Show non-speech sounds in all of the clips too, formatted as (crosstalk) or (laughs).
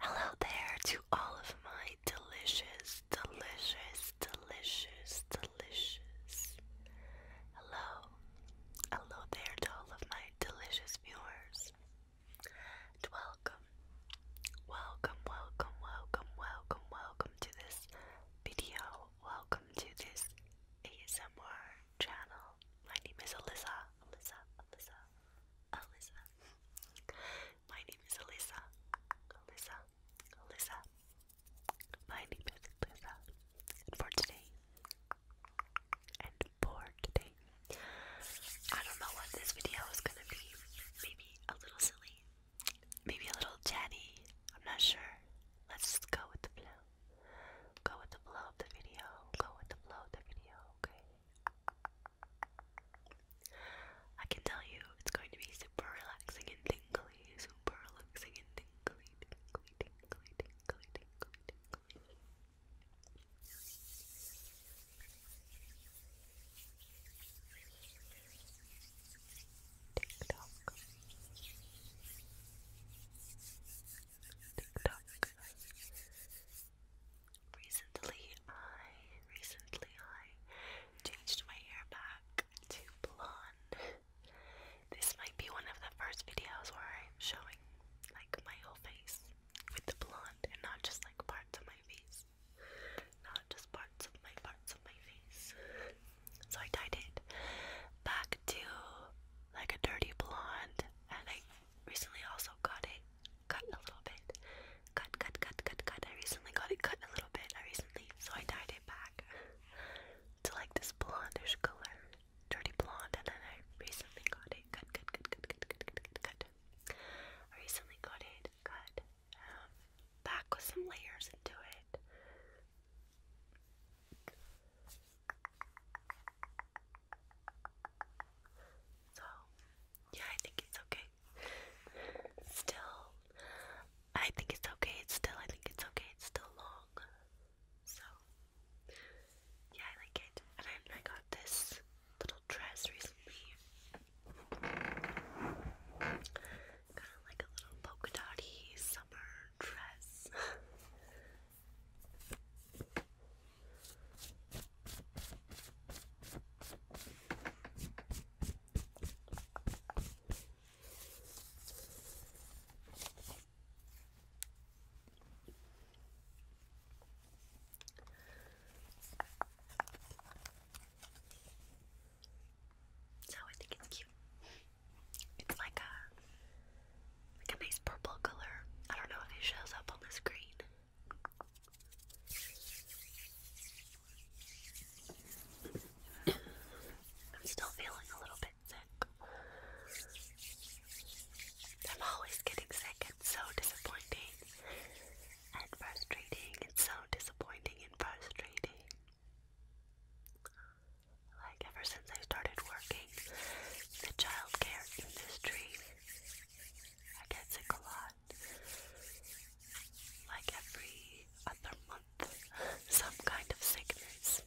Hello there to all of my delicious, delicious, delicious, delicious. Hello, hello there to all of my delicious viewers, and welcome, welcome, welcome, welcome, welcome, welcome to this video. Welcome to this ASMR channel. My name is Alyssa, Alyssa, Alyssa, Alyssa. My name is Alyssa, Alyssa, Alyssa. My name is for today, and for today, I don't know what this video is gonna be. Maybe a little silly, maybe a little chatty. I'm not sure. Let's just go with the flow. Go with the flow of the video. Go with the flow of the video. Okay. I can tell you, it's going to be super relaxing and tingly. Recently, I recently I changed my hair back to blonde. This might be one of the first videos where I'm showing like my whole face with the blonde and not just like parts of my face. Not just parts of my parts of my face. So I dyed it back to like a dirty blonde and I recently also got it cut a little bit. Cut cut cut cut cut. I recently got it cut a little bit. I recently so I dyed it back to like this blondish color, dirty blonde, and then I recently got it good, good, good, good, good, good, good, good, good. I recently got it good, um, back with some layers into it. So, yeah, I think it's okay. Still I think it's okay. It's still, I think it's okay. It's still long. So, yeah, I like it. And then I got this little dress recently. Kind of like a little polka dotty summer dress. (laughs) So oh, I think it's cute. It's like a a nice purple color. I don't know if it shows up on the screen. I'm still feeling a little bit sick. I'm always getting sick. It's so disappointing and frustrating. It's so disappointing and frustrating. Like, ever since I started working in the childcare industry, I get sick a lot. Like, every other month some kind of sickness.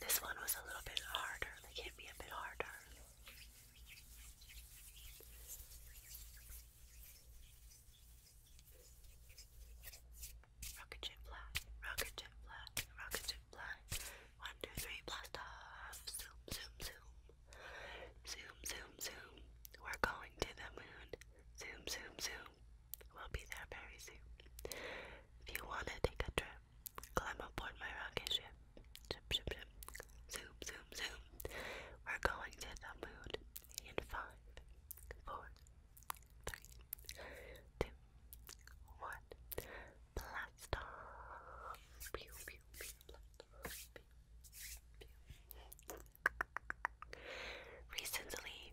This one was a little bit harder, they gave me a bit harder. Rocket ship fly, rocket ship fly, rocket ship fly. One, two, three, blast off. Zoom, zoom, zoom. Zoom, zoom, zoom. We're going to the moon. Zoom, zoom, zoom. We'll be there very soon. If you want to take a trip, climb aboard my rocket ship. Zoom, zoom, zoom. We're going to the moon in five, four, three, two, one. Blast off. Pew, pew, pew, blast Pew, pew. Recently,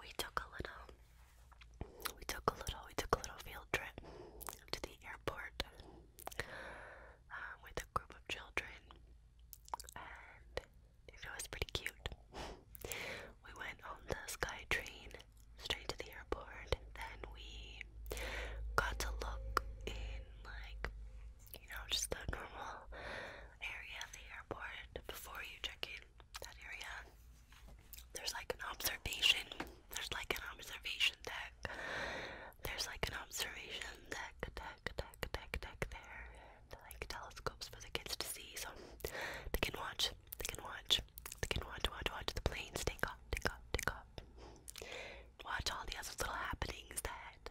we took a little, we took a little, we took a little field trip to the airport um, with a group of children, and it was pretty cute. We went on the Sky Train straight to the airport, then we got to look in like you know, just the normal area of the airport before you check in. That area, there's like an observation. There's like an observation deck. There's like an observation deck, deck, deck, deck, deck there, and like telescopes for the kids to see, so they can watch. They can watch. They can watch, watch, watch the planes take off, take off, take off. Watch all the other little happenings that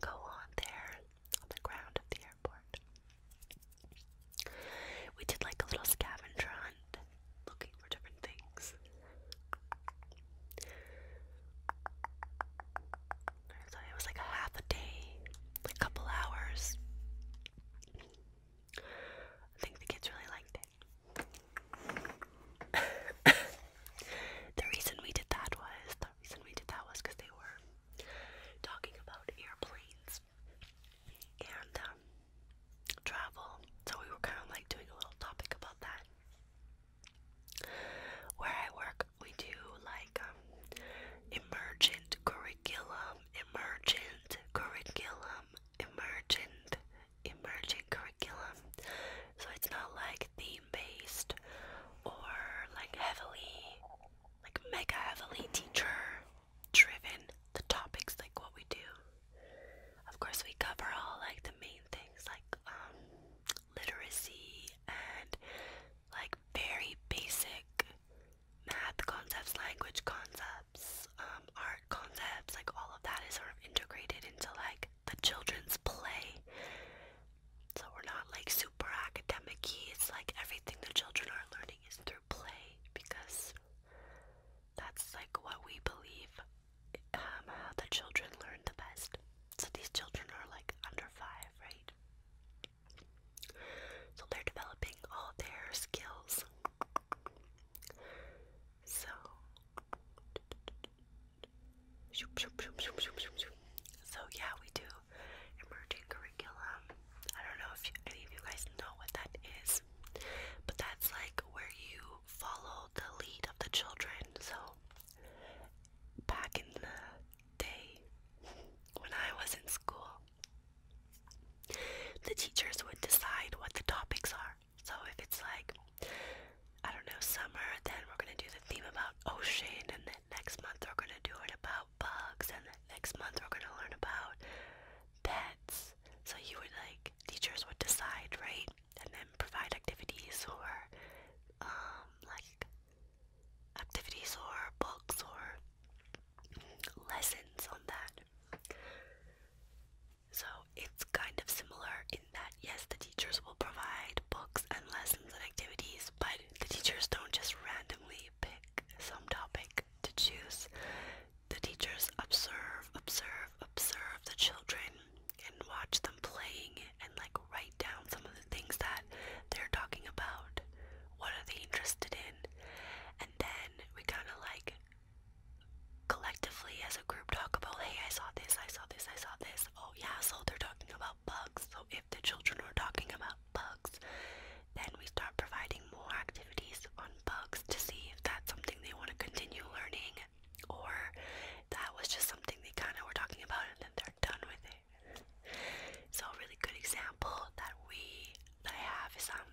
go on there on the ground of the airport. We did like a little scavenger hunt looking for different things. it was like a half a day, a couple hours. I think the kids really liked it. (laughs) the reason we did that was the reason we did that was because they were talking about airplanes and um, travel, so we were kind of like doing a little topic about that. Where I work, we do like um, emergent curriculum, emergent curriculum, emergent, emergent curriculum. So it's not like the based or like heavily, like mega heavily teacher driven, the topics like what we do. Of course, we cover all like the main things like um, literacy and like very basic math concepts, language concepts, um, art concepts, like all of that is sort of integrated into like the children's play. So we're not like super academic -y. It's like everything the children are learning is through play because that's like what we believe um, how the children learn the best. So these children are like under five, right? So they're developing all their skills. So so yeah, we do emerging curriculum. I don't know if any of you guys know what that is, but that's like where you follow the lead of the children. So back in the day when I was in school, the teachers would decide what the topics are. So if it's like, I don't know, summer, then we're gonna do the theme about ocean, and then next month we're gonna do it about bugs, and then next month we're gonna learn about pets. So you would like, teachers would decide, right? And then provide activities or, um, like, activities or books or lessons on that. So it's kind of similar in that, yes, the teachers will provide books and lessons and activities, but the teachers don't just randomly pick some topic to choose. The teachers observe, observe, observe the children and watch them playing and like write down some of the things that they're talking about. What are they interested in? And then we kind of like collectively as a group talk about, hey, I saw this, I saw this, I saw this. Oh, yeah, so they're talking about bugs. So if the children are talking about bugs, then we start providing more activities on bugs to see if that's something they want to continue learning or that was just something they kind of were talking about and then they're done with it. So, a really good example that we that I have is um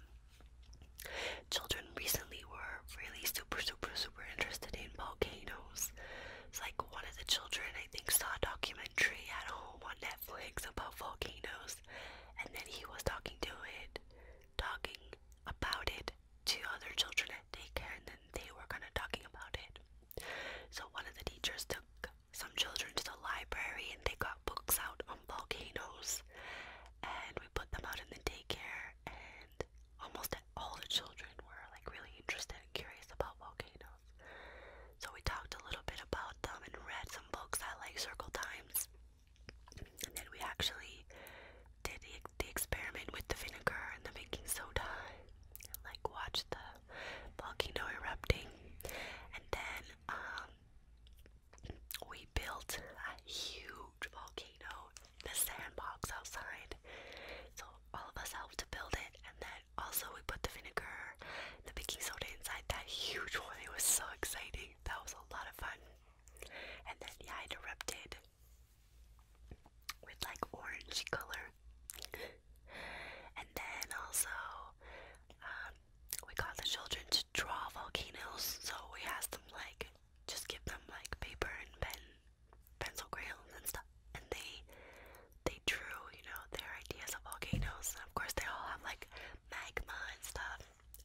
children recently were really super, super, super interested in volcanoes. It's like one of the children, I think, saw a documentary at home on Netflix about volcanoes, and then he was talking to it, talking about it to other children at daycare, and then they were kind of talking about it. So one of the teachers took some children to the library, and they got books out on volcanoes, and we put them out in the daycare, almost all the children were like really interested and curious about volcanoes. So we talked a little bit about them and read some books at like Circle Times. And then we actually did the, experiment with the vinegar and the baking soda and like watched the volcano erupting. And then um, we built a huge volcano the sandbox outside. So all of us helped to build it, and then also we put the vinegar, the baking soda inside that huge one. It was so exciting. That was a lot of fun. And then yeah, I erupted with like orange color. and then also um, we got the children to draw volcanoes. So we asked them like just give them like paper and pen pencil crayons and stuff, and they they drew, you know, their ideas of volcanoes. And of course, they all have like magma and stuff.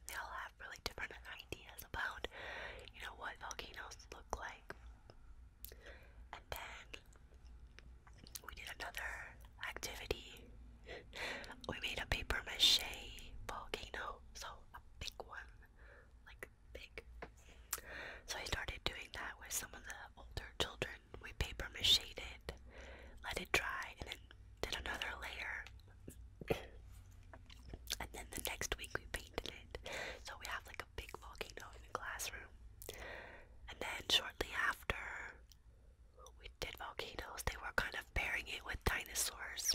They all have really different ideas about, you know, what volcanoes look like. And then we did another activity. (laughs) we made a paper mache volcano, so a big one, like big, So I started doing that with some of the older children. We paper macheed it, let it dry, and then did another layer. and then the next week we painted it. So we have like a big volcano in the classroom. And then shortly after we did volcanoes, they were kind of pairing it with dinosaurs.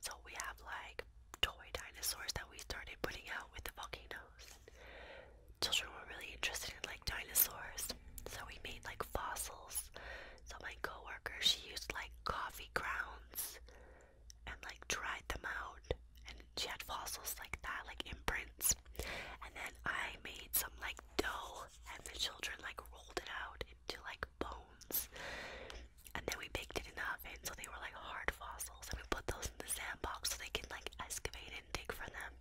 So we have like toy dinosaurs that we started putting out with the volcanoes. And children were really interested in like dinosaurs, so we made like fossils. So my coworker, she used like coffee grounds and like dried them out, and she had fossils like that, like imprints. And then I made some like dough, and the children like rolled it out into like bones. And then we baked it in the oven so they were like hard fossils and we put those in the sandbox so they can like excavate and dig for them.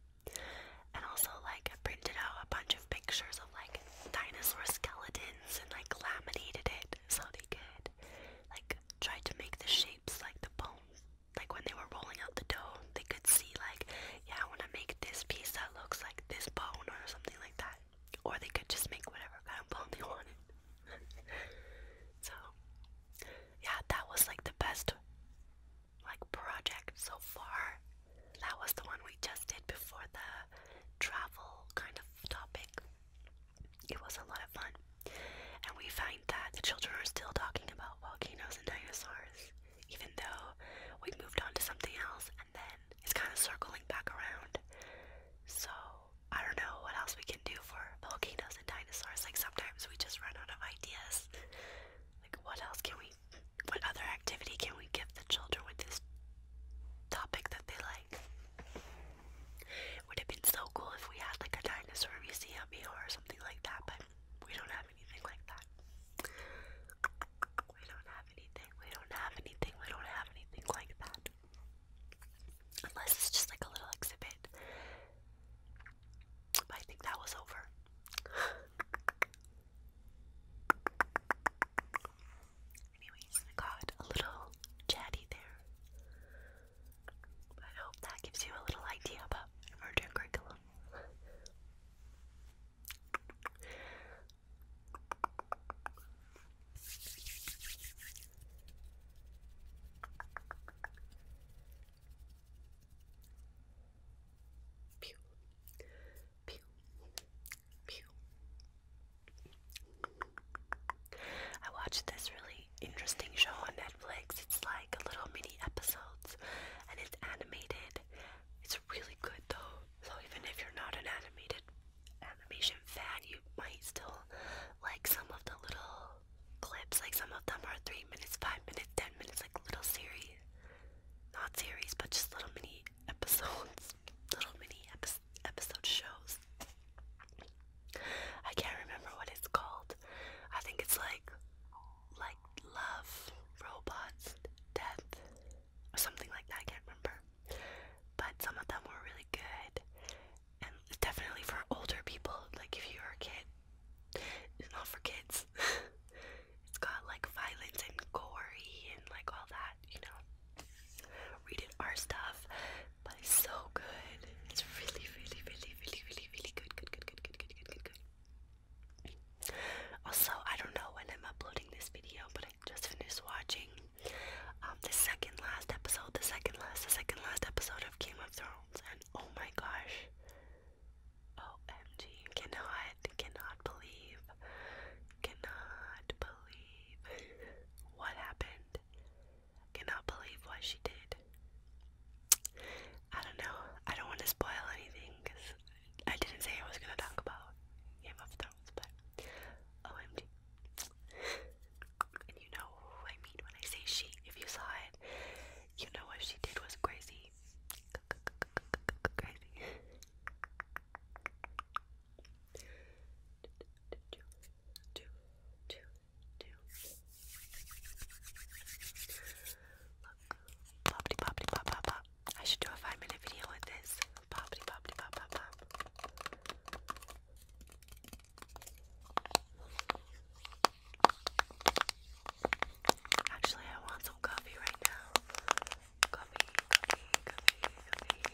And also like printed out a bunch of pictures of like dinosaur skeletons and like laminated it so they could like try to make the shapes like the bones. Like when they were rolling out the dough, they could see like, yeah, I wanna make this piece that looks like this bone or something like that. Or they could just make whatever kind of bomb they wanted. (laughs) so, yeah, that was like the best like project so far. That was the one we just did before the travel kind of topic. It was a lot of fun. And we find that the children are still talking about volcanoes and dinosaurs, even though we moved on to something else and then it's kind of circling back around. So I don't know what else we can do for volcanoes and dinosaurs. Like sometimes we just run out of ideas. Like what else can we? What other activity can we give the children with this topic that they like? would have been so cool if we had like a dinosaur museum or something like that, but we don't have anything like that. We don't have anything. We don't have anything. We don't have anything like that. Unless it's just like a little exhibit. I think that was over. (laughs) Anyways, I got a little chatty there. I hope that gives you a little idea about emergent curriculum. I watched this really interesting show on Netflix. It's like a little mini episodes and it's animated. It's really good though. So even if you're not an animated animation fan, you might still like some of the little clips. Like some of them are three minutes, five minutes, ten minutes, like little series, not series, but just little mini (laughs) episodes, little mini epi episode shows. I can't remember what it's called. I think it's like like love, robots, death, or something like that. I can't remember. But some of them were really good, and definitely for older people. Like if you're a kid, it's not for kids. (laughs) it's got like violence and gory and like all that, you know. Rated R stuff, but it's so good. It's really, really, really, really, really, really good. Good, good, good, good, good, good, good, good. Also, I don't know when I'm uploading this video, but just finished watching um, the second last episode, the second last, the second last episode of Game of Thrones, and oh my gosh, OMG, cannot, cannot believe, cannot believe what happened, cannot believe what she did. I don't know, I don't want to spoil anything because I didn't say I was going to talk about Game of Thrones but OMG. and you know who I mean when I say she. If you saw it, you know what she did was crazy. Crazy. Do, Look, poppity, poppity, pop, pop, pop. I should do a five minute video with this. Poppity poppity Actually, I want some coffee right now. Coffee, coffee, coffee, coffee.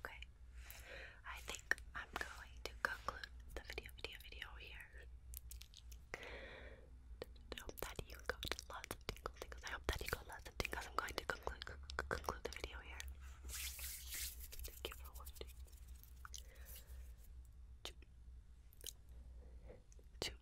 Okay. I think I'm going to conclude the video, video, video here. I hope that you got lots of tingles, tingles. I hope that you got lots of tingles. I'm going to conclude conclude the video here. Thank you for watching. Two.